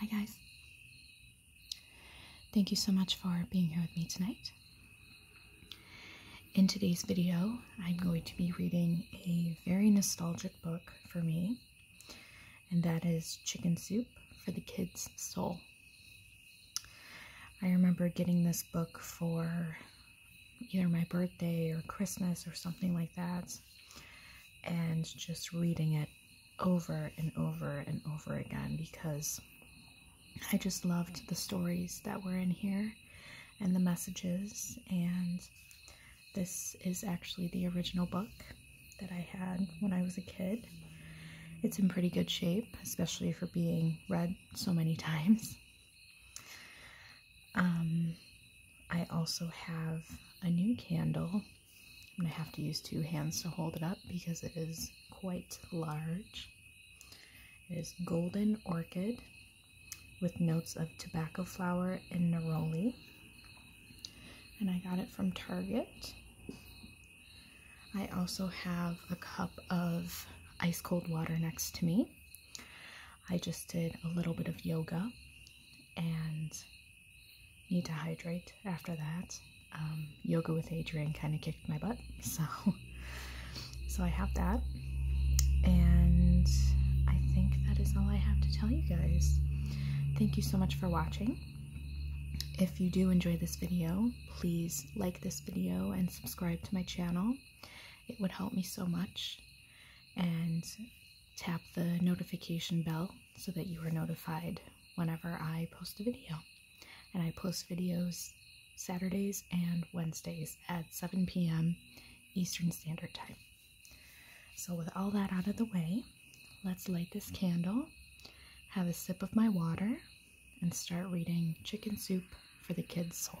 Hi, guys. Thank you so much for being here with me tonight. In today's video, I'm going to be reading a very nostalgic book for me and that is Chicken Soup for the Kid's Soul. I remember getting this book for either my birthday or Christmas or something like that, and just reading it over and over and over again because I just loved the stories that were in here and the messages and this is actually the original book that I had when I was a kid. It's in pretty good shape, especially for being read so many times. Um, I also have a new candle. I'm going to have to use two hands to hold it up because it is quite large. It is Golden Orchid with notes of tobacco flower and neroli and I got it from Target. I also have a cup of ice cold water next to me. I just did a little bit of yoga and need to hydrate after that. Um, yoga with Adrian kind of kicked my butt, so so I have that, and I think that is all I have to tell you guys. Thank you so much for watching. If you do enjoy this video, please like this video and subscribe to my channel. It would help me so much. And tap the notification bell so that you are notified whenever I post a video. And I post videos Saturdays and Wednesdays at 7 p.m. Eastern Standard Time. So, with all that out of the way, let's light this candle, have a sip of my water, and start reading Chicken Soup for the Kids' Soul.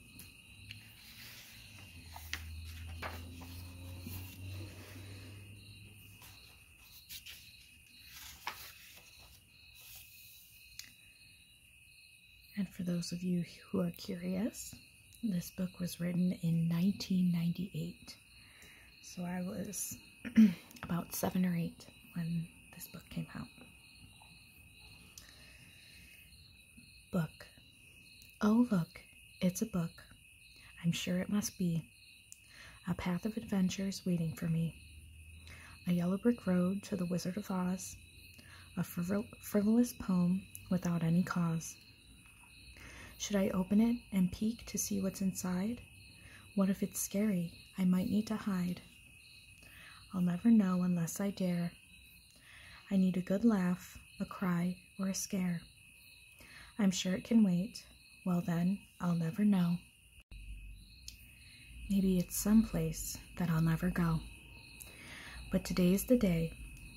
And for those of you who are curious, this book was written in 1998. So I was about seven or eight when this book came out. Book. Oh, look, it's a book. I'm sure it must be. A path of adventures waiting for me. A yellow brick road to the Wizard of Oz. A frivolous poem without any cause. Should I open it and peek to see what's inside? What if it's scary? I might need to hide. I'll never know unless I dare I need a good laugh, a cry, or a scare. I'm sure it can wait. Well then, I'll never know. Maybe it's some place that I'll never go. But today's the day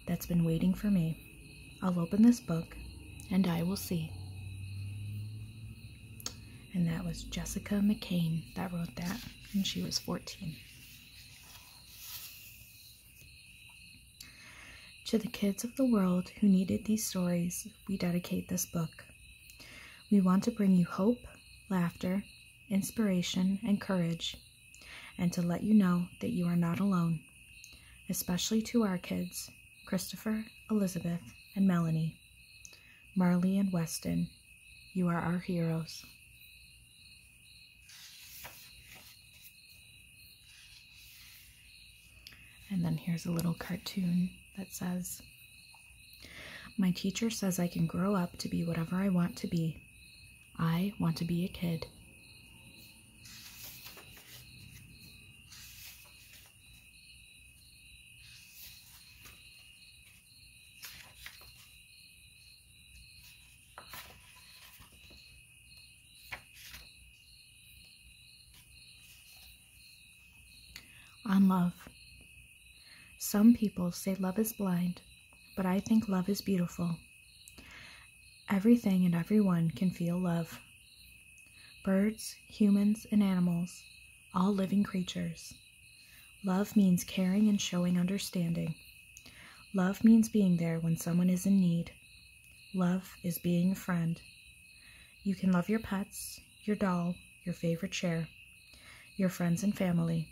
that's been waiting for me. I'll open this book and I will see. And that was Jessica McCain that wrote that, and she was 14. To the kids of the world who needed these stories, we dedicate this book. We want to bring you hope, laughter, inspiration, and courage, and to let you know that you are not alone, especially to our kids, Christopher, Elizabeth, and Melanie, Marley and Weston, you are our heroes. And then here's a little cartoon that says, My teacher says I can grow up to be whatever I want to be. I want to be a kid. On love. Some people say love is blind, but I think love is beautiful. Everything and everyone can feel love. Birds, humans, and animals, all living creatures. Love means caring and showing understanding. Love means being there when someone is in need. Love is being a friend. You can love your pets, your doll, your favorite chair, your friends and family.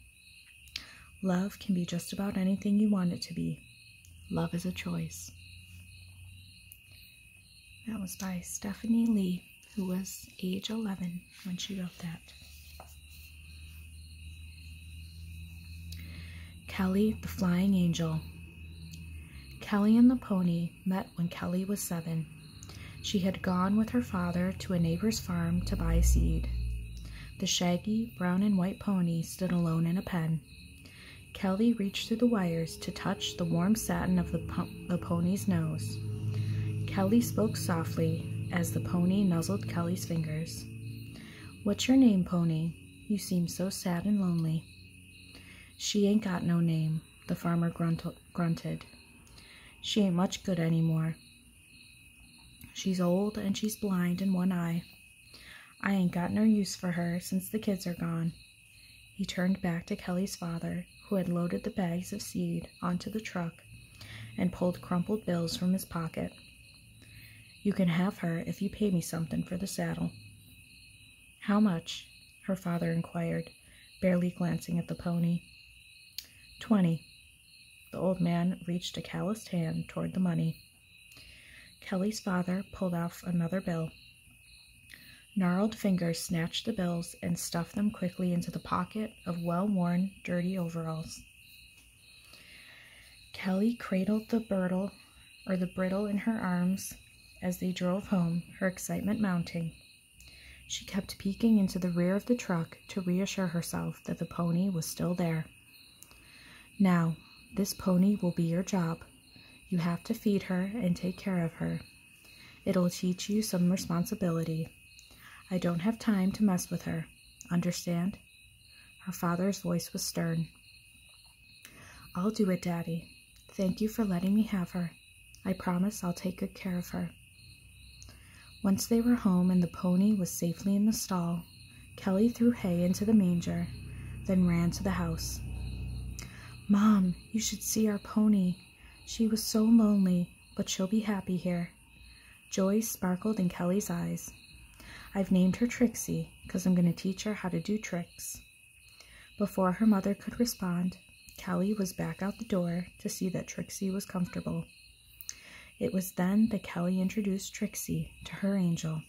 Love can be just about anything you want it to be. Love is a choice. That was by Stephanie Lee, who was age 11 when she wrote that. Kelly, the Flying Angel. Kelly and the pony met when Kelly was seven. She had gone with her father to a neighbor's farm to buy seed. The shaggy brown and white pony stood alone in a pen. Kelly reached through the wires to touch the warm satin of the, the pony's nose. Kelly spoke softly as the pony nuzzled Kelly's fingers. What's your name, Pony? You seem so sad and lonely. She ain't got no name, the farmer grunted. She ain't much good any more. She's old and she's blind in one eye. I ain't got no use for her since the kids are gone. He turned back to Kelly's father, who had loaded the bags of seed seat onto the truck and pulled crumpled bills from his pocket. You can have her if you pay me something for the saddle. How much? her father inquired, barely glancing at the pony. Twenty. The old man reached a calloused hand toward the money. Kelly's father pulled off another bill. Gnarled fingers snatched the bills and stuffed them quickly into the pocket of well worn, dirty overalls. Kelly cradled the bridle or the bridle in her arms as they drove home, her excitement mounting. She kept peeking into the rear of the truck to reassure herself that the pony was still there. Now, this pony will be your job. You have to feed her and take care of her. It'll teach you some responsibility. I don't have time to mess with her. Understand? Her father's voice was stern. I'll do it, Daddy. Thank you for letting me have her. I promise I'll take good care of her. Once they were home and the pony was safely in the stall, Kelly threw hay into the manger, then ran to the house. Mom, you should see our pony. She was so lonely, but she'll be happy here. Joy sparkled in Kelly's eyes. I've named her Trixie because I'm going to teach her how to do tricks. Before her mother could respond, Kelly was back out the door to see that Trixie was comfortable. It was then that Kelly introduced Trixie to her angel.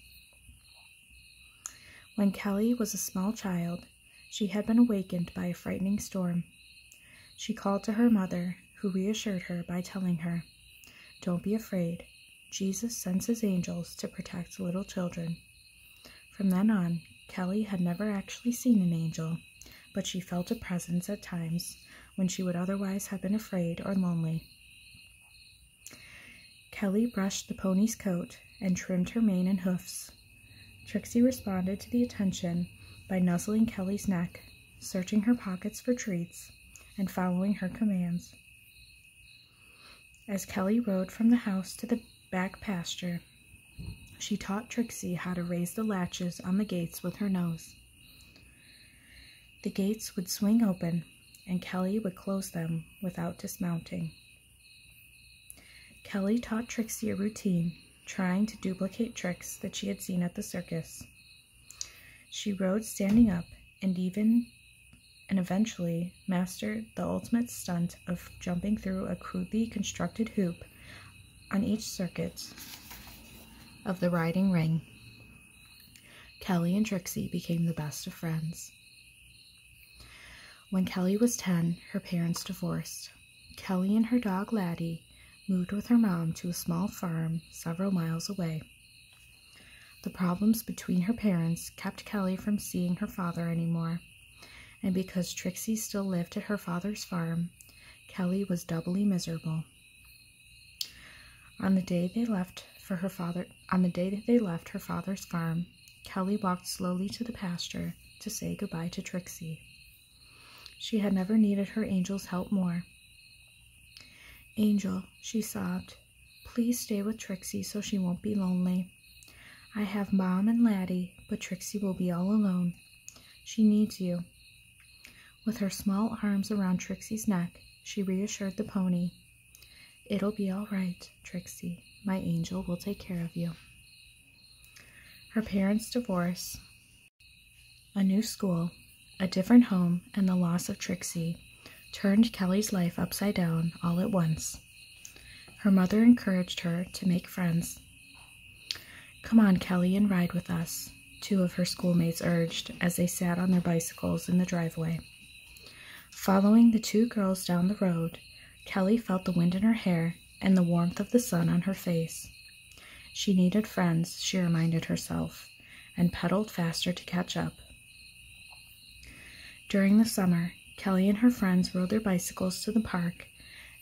When Kelly was a small child, she had been awakened by a frightening storm. She called to her mother who reassured her by telling her, Don't be afraid. Jesus sends his angels to protect little children. From then on, Kelly had never actually seen an angel, but she felt a presence at times when she would otherwise have been afraid or lonely. Kelly brushed the pony's coat and trimmed her mane and hoofs. Trixie responded to the attention by nuzzling Kelly's neck searching her pockets for treats, and following her commands. As Kelly rode from the house to the back pasture, she taught Trixie how to raise the latches on the gates with her nose. The gates would swing open, and Kelly would close them without dismounting. Kelly taught Trixie a routine, trying to duplicate tricks that she had seen at the circus. She rode standing up and even and eventually mastered the ultimate stunt of jumping through a crudely constructed hoop on each circuit of the riding ring. Kelly and Trixie became the best of friends. When Kelly was 10, her parents divorced. Kelly and her dog Laddie moved with her mom to a small farm several miles away. The problems between her parents kept Kelly from seeing her father anymore, and because Trixie still lived at her father's farm, Kelly was doubly miserable. On the day they left for her father on the day they left her father's farm, Kelly walked slowly to the pasture to say goodbye to Trixie. She had never needed her angel's help more. Angel, she sobbed, please stay with Trixie so she won't be lonely. I have Mom and Laddie, but Trixie will be all alone. She needs you. With her small arms around Trixie's neck, she reassured the pony. It'll be all right, Trixie. My angel will take care of you. Her parents' divorce a new school, a different home, and the loss of Trixie turned Kelly's life upside down all at once. Her mother encouraged her to make friends. Come on, Kelly, and ride with us, two of her schoolmates urged as they sat on their bicycles in the driveway. Following the two girls down the road, Kelly felt the wind in her hair and the warmth of the sun on her face. She needed friends, she reminded herself, and pedaled faster to catch up. During the summer, Kelly and her friends rode their bicycles to the park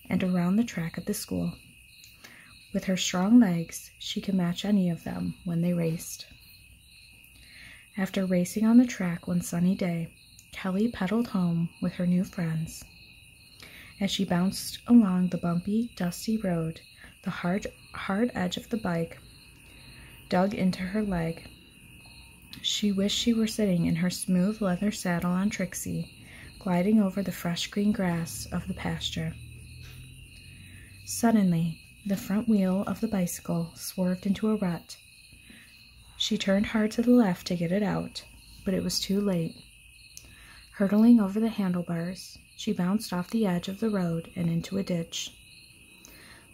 and around the track at the school. With her strong legs, she could match any of them when they raced. After racing on the track one sunny day, Kelly pedaled home with her new friends. As she bounced along the bumpy, dusty road, the hard, hard edge of the bike dug into her leg. She wished she were sitting in her smooth leather saddle on Trixie, gliding over the fresh green grass of the pasture. Suddenly, the front wheel of the bicycle swerved into a rut. She turned hard to the left to get it out, but it was too late. Hurtling over the handlebars, she bounced off the edge of the road and into a ditch.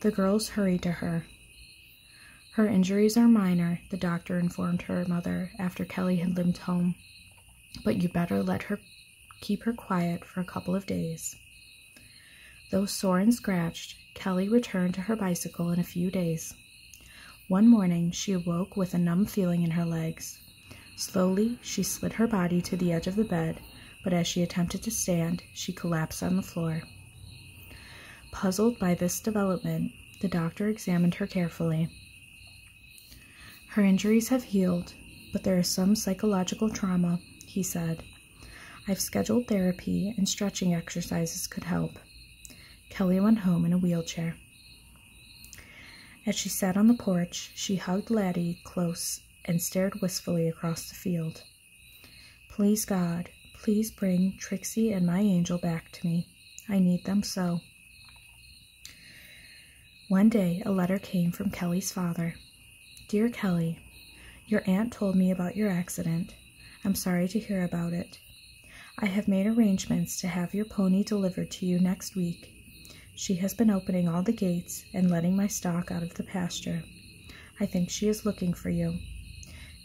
The girls hurried to her. Her injuries are minor, the doctor informed her mother after Kelly had limped home, but you better let her keep her quiet for a couple of days. Though sore and scratched, Kelly returned to her bicycle in a few days. One morning, she awoke with a numb feeling in her legs. Slowly, she slid her body to the edge of the bed, but as she attempted to stand, she collapsed on the floor. Puzzled by this development, the doctor examined her carefully. Her injuries have healed, but there is some psychological trauma, he said. I've scheduled therapy and stretching exercises could help. Kelly went home in a wheelchair. As she sat on the porch, she hugged Laddie close and stared wistfully across the field. Please, God, please bring Trixie and my angel back to me. I need them so. One day, a letter came from Kelly's father. Dear Kelly, your aunt told me about your accident. I'm sorry to hear about it. I have made arrangements to have your pony delivered to you next week she has been opening all the gates and letting my stock out of the pasture. I think she is looking for you.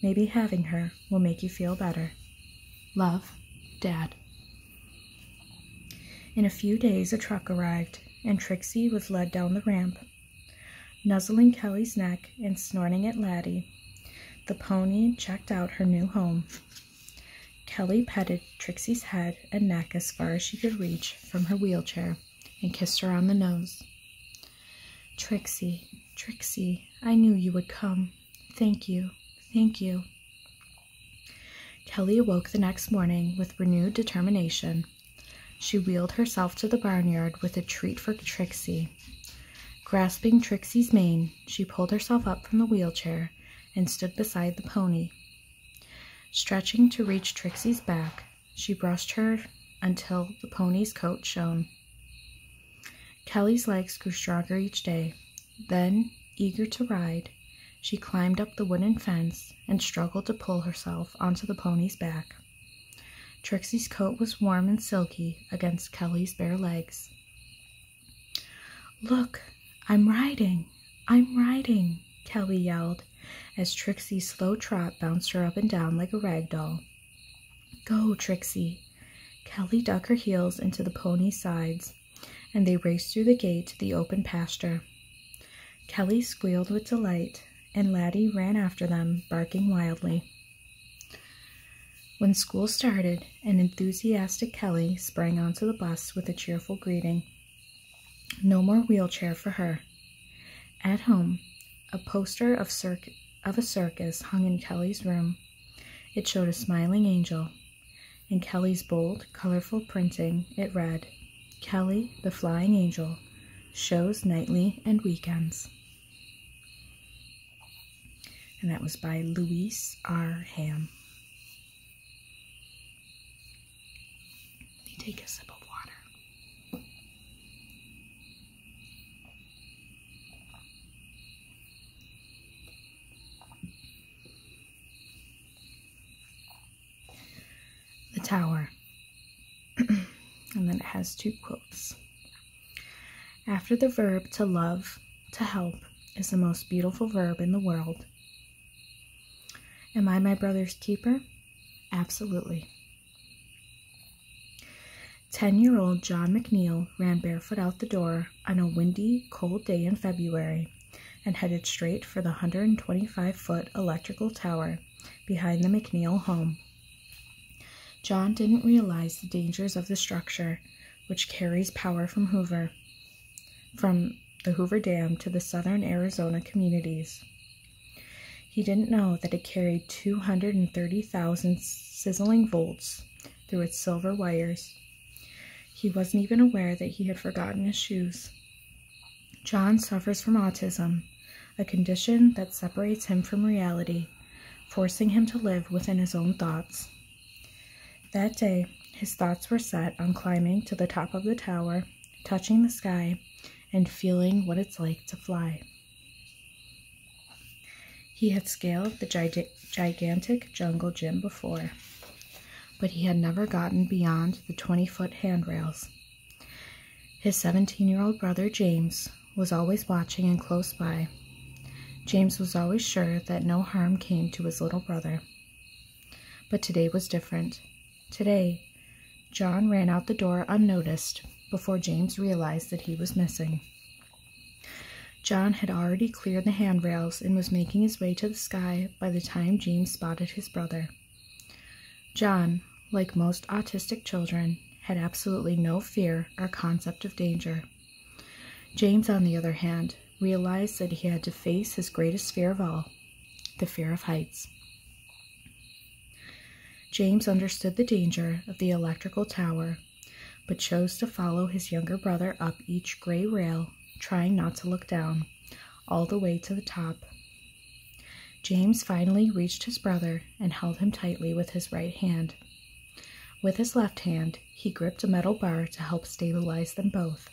Maybe having her will make you feel better. Love, Dad. In a few days, a truck arrived, and Trixie was led down the ramp. Nuzzling Kelly's neck and snorting at Laddie, the pony checked out her new home. Kelly petted Trixie's head and neck as far as she could reach from her wheelchair and kissed her on the nose. Trixie, Trixie, I knew you would come. Thank you, thank you. Kelly awoke the next morning with renewed determination. She wheeled herself to the barnyard with a treat for Trixie. Grasping Trixie's mane, she pulled herself up from the wheelchair and stood beside the pony, Stretching to reach Trixie's back, she brushed her until the pony's coat shone. Kelly's legs grew stronger each day. Then, eager to ride, she climbed up the wooden fence and struggled to pull herself onto the pony's back. Trixie's coat was warm and silky against Kelly's bare legs. Look, I'm riding, I'm riding, Kelly yelled as Trixie's slow trot bounced her up and down like a rag doll. Go, Trixie. Kelly dug her heels into the pony's sides, and they raced through the gate to the open pasture. Kelly squealed with delight, and Laddie ran after them, barking wildly. When school started, an enthusiastic Kelly sprang onto the bus with a cheerful greeting. No more wheelchair for her. At home, a poster of, of a circus hung in Kelly's room. It showed a smiling angel. In Kelly's bold, colorful printing, it read, Kelly, the Flying Angel, shows nightly and weekends. And that was by Louise R. Ham. Let me take a sip of water. The tower. and then it has two quotes. After the verb to love, to help is the most beautiful verb in the world, Am I my brother's keeper? Absolutely. 10 year old John McNeil ran barefoot out the door on a windy, cold day in February and headed straight for the 125 foot electrical tower behind the McNeil home. John didn't realize the dangers of the structure, which carries power from Hoover, from the Hoover Dam to the southern Arizona communities. He didn't know that it carried 230,000 sizzling volts through its silver wires. He wasn't even aware that he had forgotten his shoes. John suffers from autism, a condition that separates him from reality, forcing him to live within his own thoughts. That day, his thoughts were set on climbing to the top of the tower touching the sky, and feeling what it's like to fly. He had scaled the gigantic jungle gym before, but he had never gotten beyond the 20 foot handrails. His 17 year old brother James was always watching and close by. James was always sure that no harm came to his little brother. But today was different. Today, John ran out the door unnoticed before James realized that he was missing. John had already cleared the handrails and was making his way to the sky by the time James spotted his brother. John, like most autistic children, had absolutely no fear or concept of danger. James, on the other hand, realized that he had to face his greatest fear of all the fear of heights. James understood the danger of the electrical tower, but chose to follow his younger brother up each gray rail, trying not to look down, all the way to the top. James finally reached his brother and held him tightly with his right hand. With his left hand, he gripped a metal bar to help stabilize them both.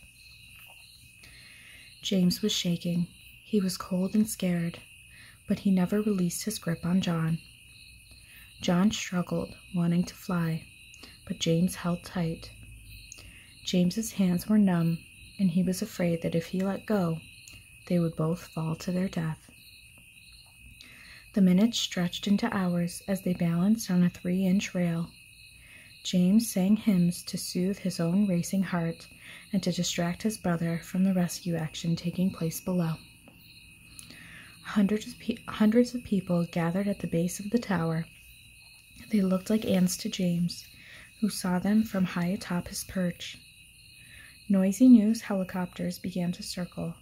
James was shaking. He was cold and scared, but he never released his grip on John. John struggled, wanting to fly, but James held tight. James's hands were numb, and he was afraid that if he let go, they would both fall to their death. The minutes stretched into hours as they balanced on a three inch rail James sang hymns to soothe his own racing heart and to distract his brother from the rescue action taking place below. Hundreds of, hundreds of people gathered at the base of the tower. They looked like ants to James, who saw them from high atop his perch. Noisy news helicopters began to circle,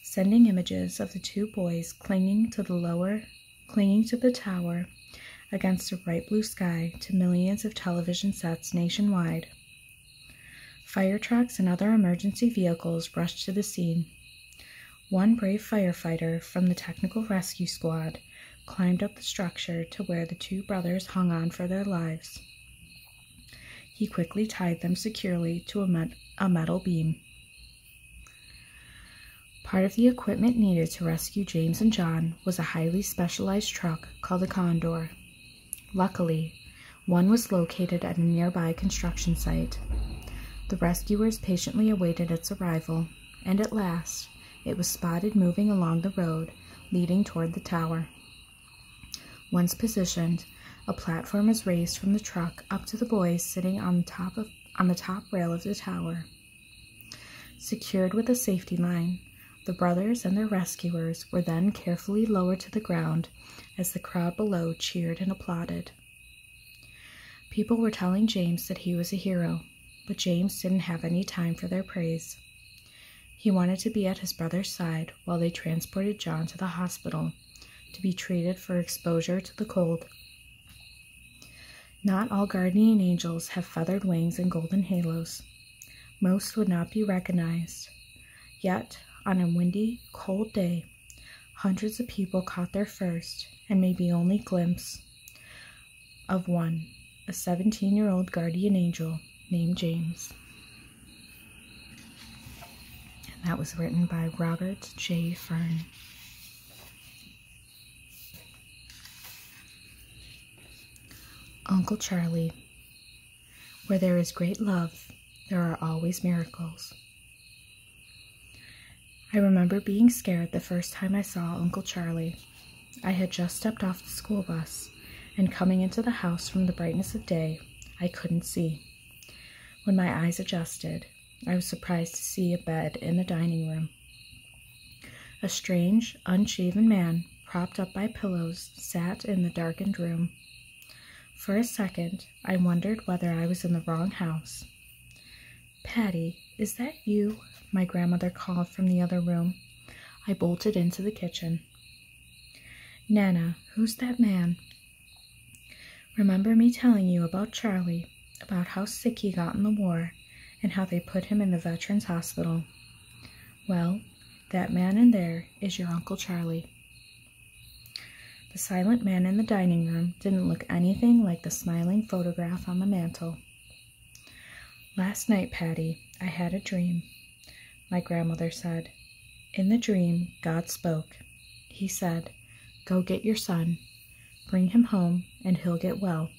sending images of the two boys clinging to the lower clinging to the tower against the bright blue sky to millions of television sets nationwide. Fire trucks and other emergency vehicles rushed to the scene. One brave firefighter from the Technical Rescue Squad climbed up the structure to where the two brothers hung on for their lives. He quickly tied them securely to a metal beam. Part of the equipment needed to rescue James and John was a highly specialized truck called a Condor. Luckily, one was located at a nearby construction site. The rescuers patiently awaited its arrival, and at last, it was spotted moving along the road leading toward the tower. Once positioned, a platform was raised from the truck up to the boys sitting on top of on the top rail of the tower. Secured with a safety line, the brothers and their rescuers were then carefully lowered to the ground as the crowd below cheered and applauded. People were telling James that he was a hero, but James didn't have any time for their praise. He wanted to be at his brother's side while they transported John to the hospital to be treated for exposure to the cold. Not all guardian angels have feathered wings and golden halos. Most would not be recognized. Yet, on a windy, cold day, hundreds of people caught their first and maybe only glimpse of one, a 17 year old guardian angel named James. that was written by Robert J. Fern. Uncle Charlie, where there is great love, there are always miracles. I remember being scared the first time I saw Uncle Charlie. I had just stepped off the school bus, and coming into the house from the brightness of day, I couldn't see. When my eyes adjusted, I was surprised to see a bed in the dining room. A strange, unshaven man, propped up by pillows, sat in the darkened room. For a second, I wondered whether I was in the wrong house. Patty, is that you? My grandmother called from the other room. I bolted into the kitchen. Nana, who's that man? Remember me telling you about Charlie, about how sick he got in the war, and how they put him in the Veterans Hospital. Well, that man in there is your Uncle Charlie. The silent man in the dining room didn't look anything like the smiling photograph on the mantel. Last night, Patty, I had a dream, my grandmother said. In the dream, God spoke. He said, 'Go get your son, bring him home, and he'll get well.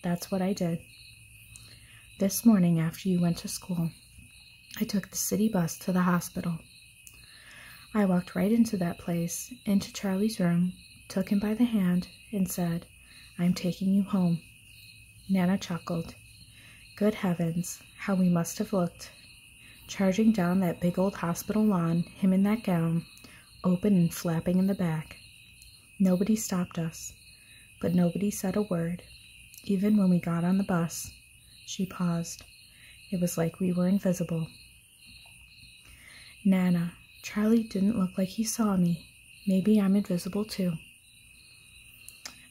That's what I did. This morning, after you went to school, I took the city bus to the hospital. I walked right into that place, into Charlie's room, took him by the hand, and said, I'm taking you home. Nana chuckled. Good heavens, how we must have looked. Charging down that big old hospital lawn, him in that gown, open and flapping in the back. Nobody stopped us, but nobody said a word. Even when we got on the bus, she paused. It was like we were invisible. Nana, Charlie didn't look like he saw me. Maybe I'm invisible too.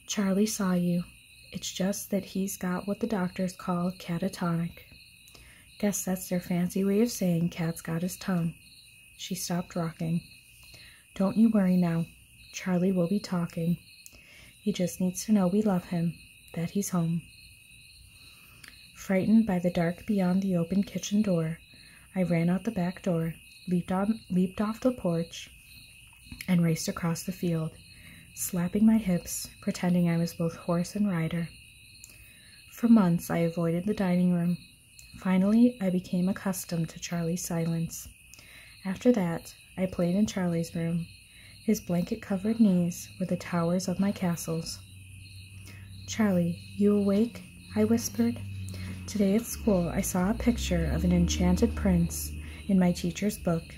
Charlie saw you. It's just that he's got what the doctors call catatonic. Guess that's their fancy way of saying cat's got his tongue. She stopped rocking. Don't you worry now. Charlie will be talking. He just needs to know we love him, that he's home. Frightened by the dark beyond the open kitchen door, I ran out the back door, leaped, off the porch, and raced across the field, slapping my hips, pretending I was both horse and rider. For months, I avoided the dining room, Finally, I became accustomed to Charlie's silence. After that, I played in Charlie's room, his blanket covered knees were the towers of my castles. Charlie, you awake? I whispered. Today at school, I saw a picture of an enchanted prince in my teacher's book.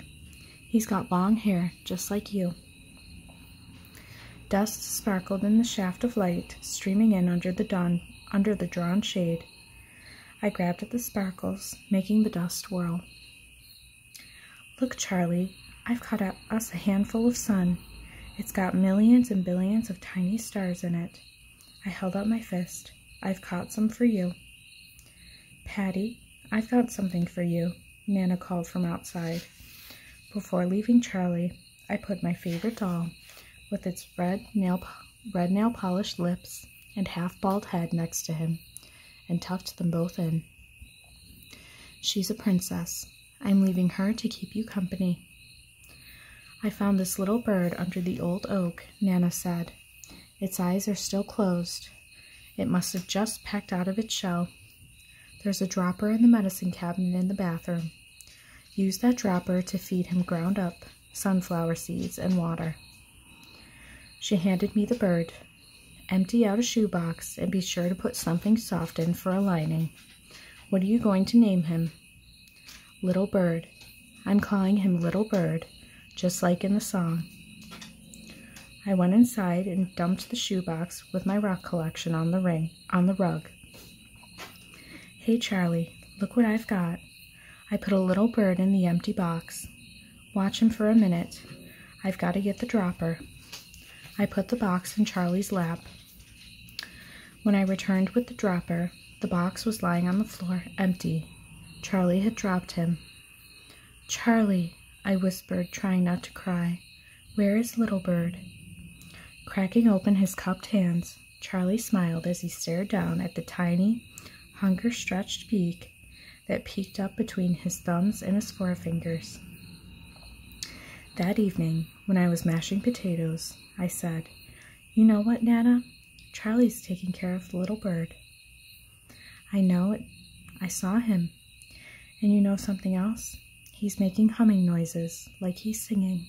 He's got long hair, just like you. Dust sparkled in the shaft of light streaming in under the dawn under the drawn shade. I grabbed at the sparkles, making the dust whirl. Look, Charlie, I've caught a, us a handful of sun. It's got millions and billions of tiny stars in it. I held out my fist. I've caught some for you. Patty, I've got something for you, Nana called from outside. Before leaving Charlie, I put my favorite doll, with its red nail, red nail polished lips and half bald head next to him and tucked them both in. She's a princess. I'm leaving her to keep you company. I found this little bird under the old oak, Nana said. Its eyes are still closed. It must have just pecked out of its shell. There's a dropper in the medicine cabinet in the bathroom. Use that dropper to feed him ground up sunflower seeds and water. She handed me the bird. Empty out a shoebox and be sure to put something soft in for a lining. What are you going to name him? Little Bird. I'm calling him Little Bird, just like in the song. I went inside and dumped the shoebox with my rock collection on the ring, on the rug. Hey, Charlie, look what I've got. I put a little bird in the empty box. Watch him for a minute. I've got to get the dropper. I put the box in Charlie's lap. When I returned with the dropper, the box was lying on the floor, empty. Charlie had dropped him. Charlie, I whispered, trying not to cry. Where is Little Bird? Cracking open his cupped hands, Charlie smiled as he stared down at the tiny, hunger stretched beak that peeked up between his thumbs and his forefingers. That evening, when I was mashing potatoes, I said, You know what, Nana? Charlie's taking care of the little bird. I know it. I saw him. And you know something else? He's making humming noises, like he's singing.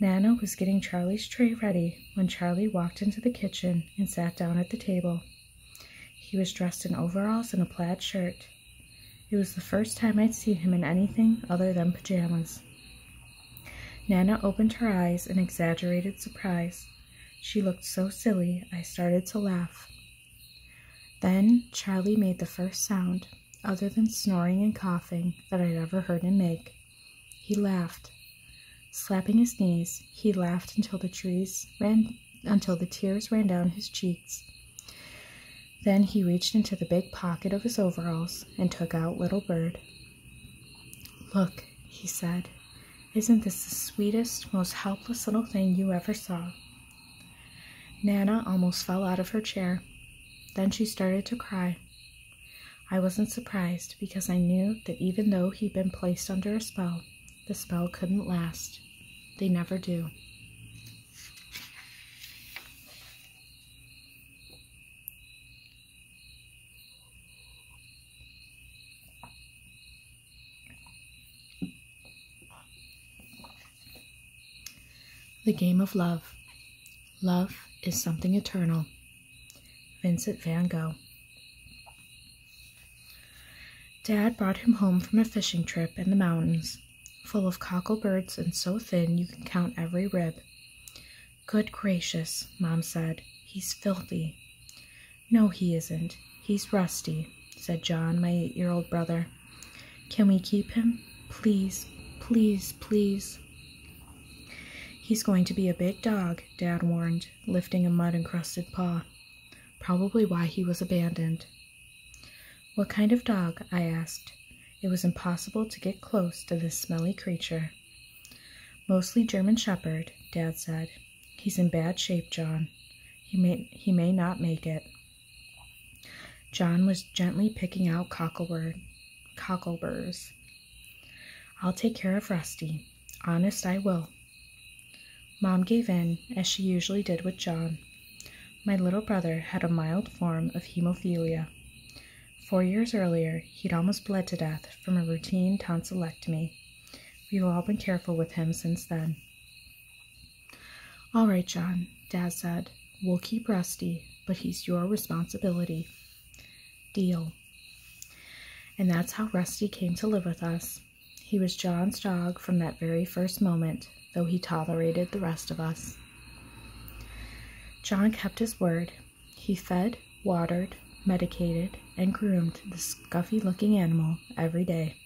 Nana was getting Charlie's tray ready when Charlie walked into the kitchen and sat down at the table. He was dressed in overalls and a plaid shirt. It was the first time I'd seen him in anything other than pajamas. Nana opened her eyes in exaggerated surprise. She looked so silly, I started to laugh. Then Charlie made the first sound other than snoring and coughing, that I'd ever heard him make. He laughed. Slapping his knees, he laughed until the until the tears ran down his cheeks. Then he reached into the big pocket of his overalls and took out Little Bird. Look, he said, isn't this the sweetest, most helpless little thing you ever saw? Nana almost fell out of her chair. Then she started to cry. I wasn't surprised because I knew that even though he'd been placed under a spell, the spell couldn't last. They never do. The Game of Love Love is something eternal. Vincent van Gogh. Dad brought him home from a fishing trip in the mountains, full of cocklebirds and so thin you can count every rib. Good gracious, Mom said. He's filthy. No, he isn't. He's rusty, said John, my eight year old brother. Can we keep him? Please, please, please. He's going to be a big dog, Dad warned, lifting a mud-encrusted paw. Probably why he was abandoned. What kind of dog? I asked. It was impossible to get close to this smelly creature. Mostly German Shepherd, Dad said. He's in bad shape, John. He may, he may not make it. John was gently picking out cocklebur cockleburs. I'll take care of Rusty. Honest, I will. Mom gave in, as she usually did with John. My little brother had a mild form of hemophilia. Four years earlier, he'd almost bled to death from a routine tonsillectomy. We've all been careful with him since then. All right, John, Dad said. We'll keep Rusty, but he's your responsibility. Deal. And that's how Rusty came to live with us. He was John's dog from that very first moment, though he tolerated the rest of us. John kept his word. He fed, watered, medicated, and groomed the scuffy looking animal every day.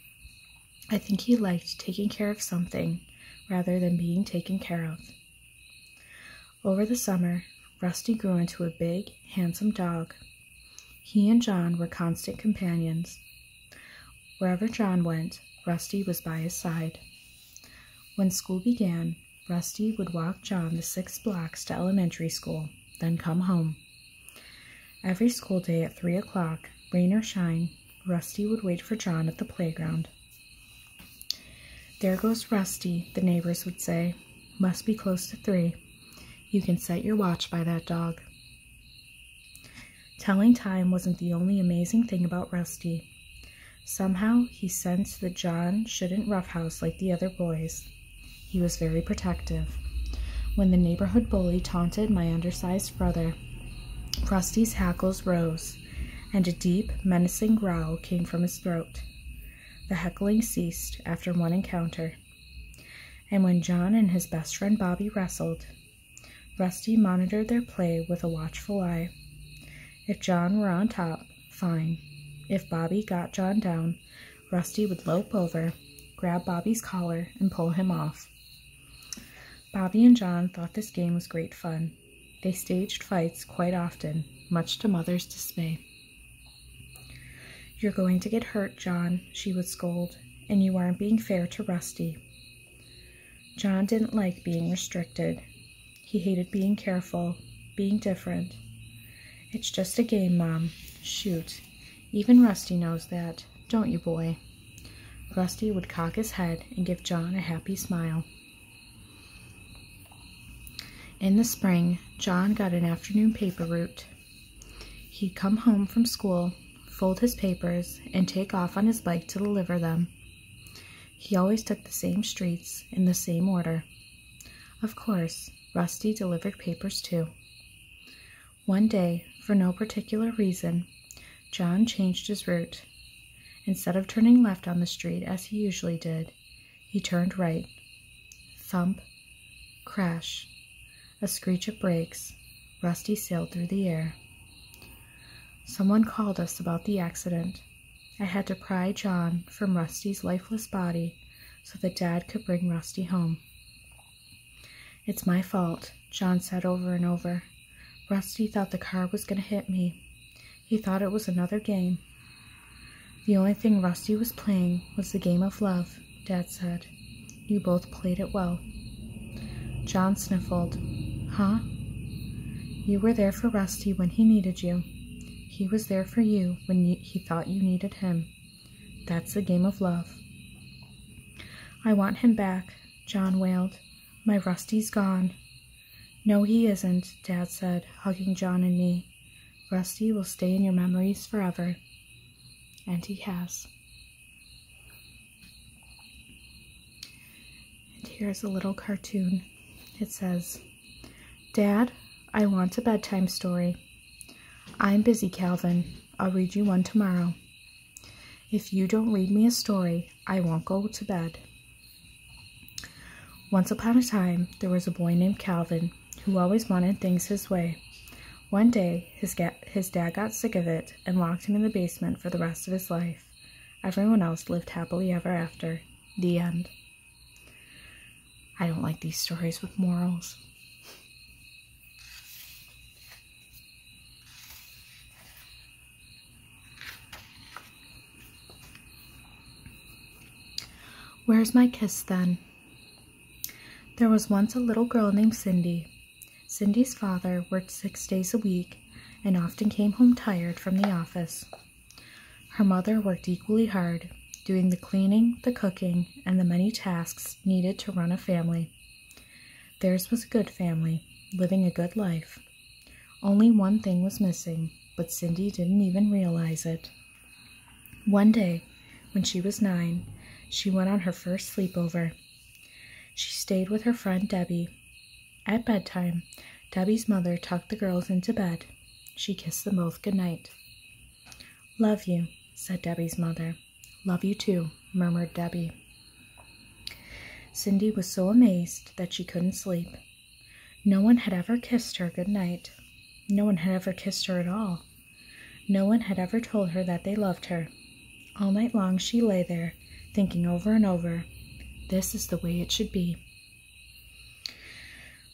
I think he liked taking care of something rather than being taken care of. Over the summer, Rusty grew into a big, handsome dog. He and John were constant companions. Wherever John went, Rusty was by his side. When school began, Rusty would walk John the six blocks to elementary school, then come home. Every school day at three o'clock, rain or shine, Rusty would wait for John at the playground. There goes Rusty, the neighbors would say. Must be close to three. You can set your watch by that dog. Telling time wasn't the only amazing thing about Rusty. Somehow, he sensed that John shouldn't roughhouse like the other boys. He was very protective. When the neighborhood bully taunted my undersized brother, Rusty's hackles rose and a deep, menacing growl came from his throat. The heckling ceased after one encounter, and when John and his best friend Bobby wrestled, Rusty monitored their play with a watchful eye. If John were on top, fine. If Bobby got John down, Rusty would lope over, grab Bobby's collar, and pull him off. Bobby and John thought this game was great fun, they staged fights quite often, much to Mother's dismay. You're going to get hurt, John, she would scold, and you aren't being fair to Rusty. John didn't like being restricted. He hated being careful, being different. It's just a game, Mom. Shoot. Even Rusty knows that, don't you, boy? Rusty would cock his head and give John a happy smile. In the spring, John got an afternoon paper route. He'd come home from school, fold his papers, and take off on his bike to deliver them. He always took the same streets in the same order. Of course, Rusty delivered papers too. One day, for no particular reason, John changed his route Instead of turning left on the street as he usually did, he turned right. Thump, crash, a screech of brakes. Rusty sailed through the air. Someone called us about the accident. I had to pry John from Rusty's lifeless body so that Dad could bring Rusty home. It's my fault, John said over and over. Rusty thought the car was going to hit me. He thought it was another game. The only thing Rusty was playing was the game of love, Dad said. You both played it well. John sniffled. Huh? You were there for Rusty when he needed you. He was there for you when you, he thought you needed him. That's the game of love. I want him back, John wailed. My Rusty's gone. No, he isn't, Dad said, hugging John and me. Rusty will stay in your memories forever. And he has. And here's a little cartoon. It says, Dad, I want a bedtime story. I'm busy, Calvin. I'll read you one tomorrow. If you don't read me a story, I won't go to bed. Once upon a time, there was a boy named Calvin who always wanted things his way. One day, his, dad got sick of it and locked him in the basement for the rest of his life. Everyone else lived happily ever after. The end. I don't like these stories with morals. Where's my kiss then? There was once a little girl named Cindy. Cindy's father worked six days a week and often came home tired from the office. Her mother worked equally hard, doing the cleaning, the cooking, and the many tasks needed to run a family. Theirs was a good family, living a good life. Only one thing was missing, but Cindy didn't even realize it. One day, when she was nine, she went on her first sleepover. She stayed with her friend Debbie. At bedtime, Debbie's mother tucked the girls into bed. She kissed them both good night. Love you, said Debbie's mother. Love you too, murmured Debbie. Cindy was so amazed that she couldn't sleep. No one had ever kissed her good night. No one had ever kissed her at all. No one had ever told her that they loved her. All night long she lay there, thinking over and over, this is the way it should be.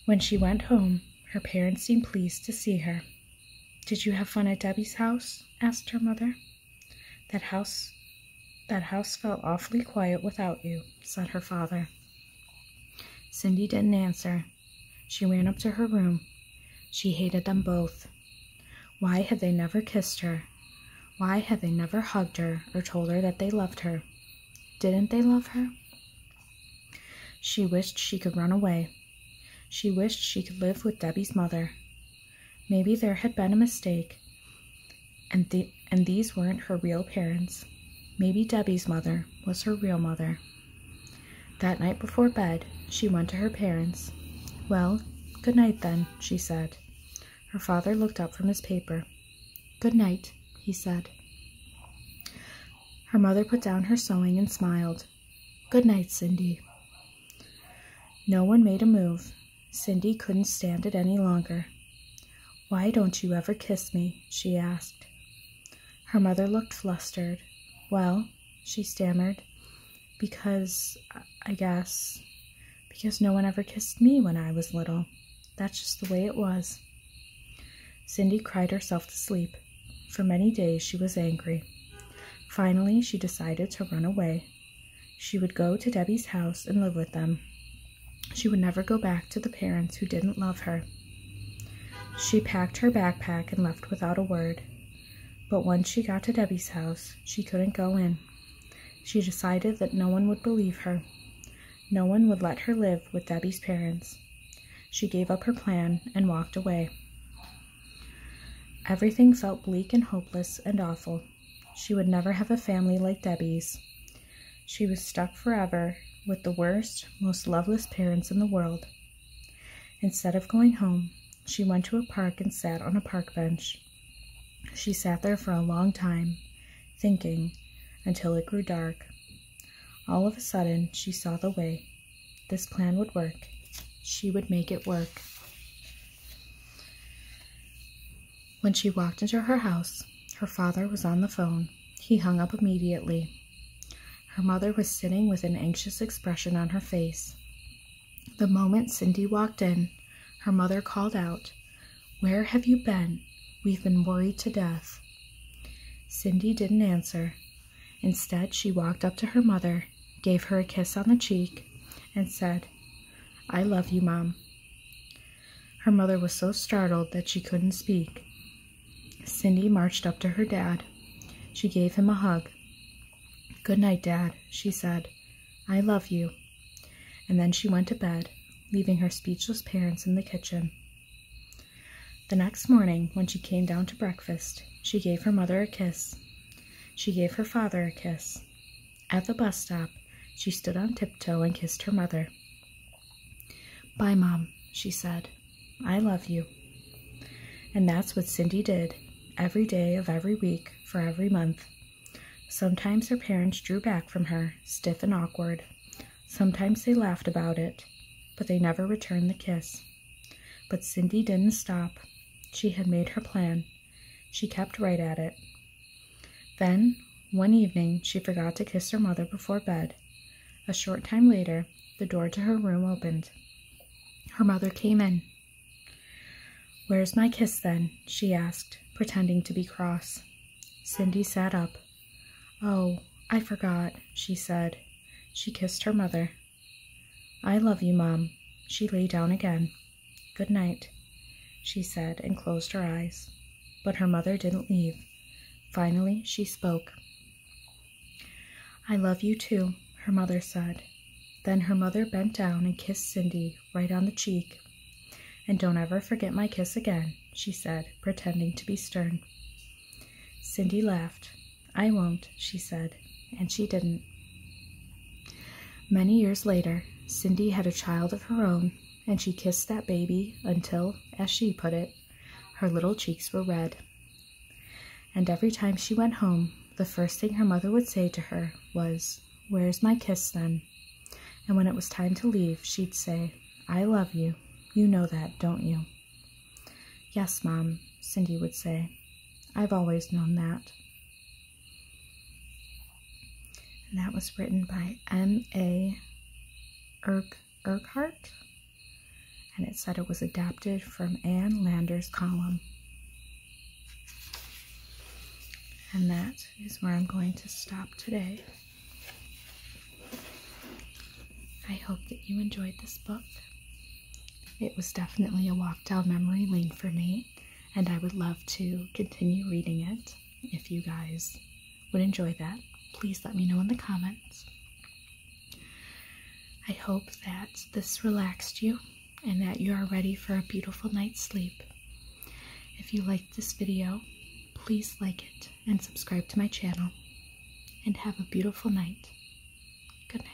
When she went home, her parents seemed pleased to see her. Did you have fun at Debbie's house? asked her mother. That house that house felt awfully quiet without you, said her father. Cindy didn't answer. She ran up to her room. She hated them both. Why had they never kissed her? Why had they never hugged her or told her that they loved her? Didn't they love her? She wished she could run away. She wished she could live with Debbie's mother. Maybe there had been a mistake, and, th and these weren't her real parents. Maybe Debbie's mother was her real mother. That night before bed, she went to her parents. Well, good night then, she said. Her father looked up from his paper. Good night, he said. Her mother put down her sewing and smiled. Good night, Cindy. No one made a move. Cindy couldn't stand it any longer. Why don't you ever kiss me? she asked. Her mother looked flustered. Well, she stammered, because, I guess, because no one ever kissed me when I was little. That's just the way it was. Cindy cried herself to sleep. For many days she was angry. Finally, she decided to run away. She would go to Debbie's house and live with them. She would never go back to the parents who didn't love her. She packed her backpack and left without a word. But once she got to Debbie's house, she couldn't go in. She decided that no one would believe her. No one would let her live with Debbie's parents. She gave up her plan and walked away. Everything felt bleak and hopeless and awful. She would never have a family like Debbie's she was stuck forever with the worst, most loveless parents in the world. Instead of going home, she went to a park and sat on a park bench. She sat there for a long time, thinking, until it grew dark. All of a sudden, she saw the way. This plan would work. She would make it work. When she walked into her house, her father was on the phone. He hung up immediately. Her mother was sitting with an anxious expression on her face. The moment Cindy walked in, her mother called out, Where have you been? We've been worried to death. Cindy didn't answer. Instead, she walked up to her mother, gave her a kiss on the cheek, and said, I love you, Mom. Her mother was so startled that she couldn't speak. Cindy marched up to her dad. She gave him a hug. Good night, Dad, she said. I love you. And then she went to bed, leaving her speechless parents in the kitchen. The next morning, when she came down to breakfast, she gave her mother a kiss. She gave her father a kiss. At the bus stop, she stood on tiptoe and kissed her mother. Bye, Mom, she said. I love you. And that's what Cindy did every day of every week for every month. Sometimes her parents drew back from her, stiff and awkward. Sometimes they laughed about it, but they never returned the kiss. But Cindy didn't stop. She had made her plan. She kept right at it. Then, one evening, she forgot to kiss her mother before bed. A short time later, the door to her room opened. Her mother came in. Where's my kiss then? she asked, pretending to be cross. Cindy sat up. Oh, I forgot, she said. She kissed her mother. I love you, Mom. She lay down again. Good night she said, and closed her eyes. But her mother didn't leave. Finally, she spoke. I love you too, her mother said. Then her mother bent down and kissed Cindy right on the cheek. And don't ever forget my kiss again, she said, pretending to be stern. Cindy laughed. I won't, she said, and she didn't. Many years later, Cindy had a child of her own and she kissed that baby until, as she put it, her little cheeks were red. And every time she went home, the first thing her mother would say to her was, Where's my kiss then? And when it was time to leave, she'd say, I love you. You know that, don't you? Yes, Mom, Cindy would say. I've always known that. And that was written by M.A. Urquhart. And it said it was adapted from Anne Lander's column. And that is where I'm going to stop today. I hope that you enjoyed this book. It was definitely a walk down memory lane for me, and I would love to continue reading it if you guys would enjoy that, please let me know in the comments. I hope that this relaxed you and that you are ready for a beautiful night's sleep. If you liked this video, please like it and subscribe to my channel. And have a beautiful night. Good night.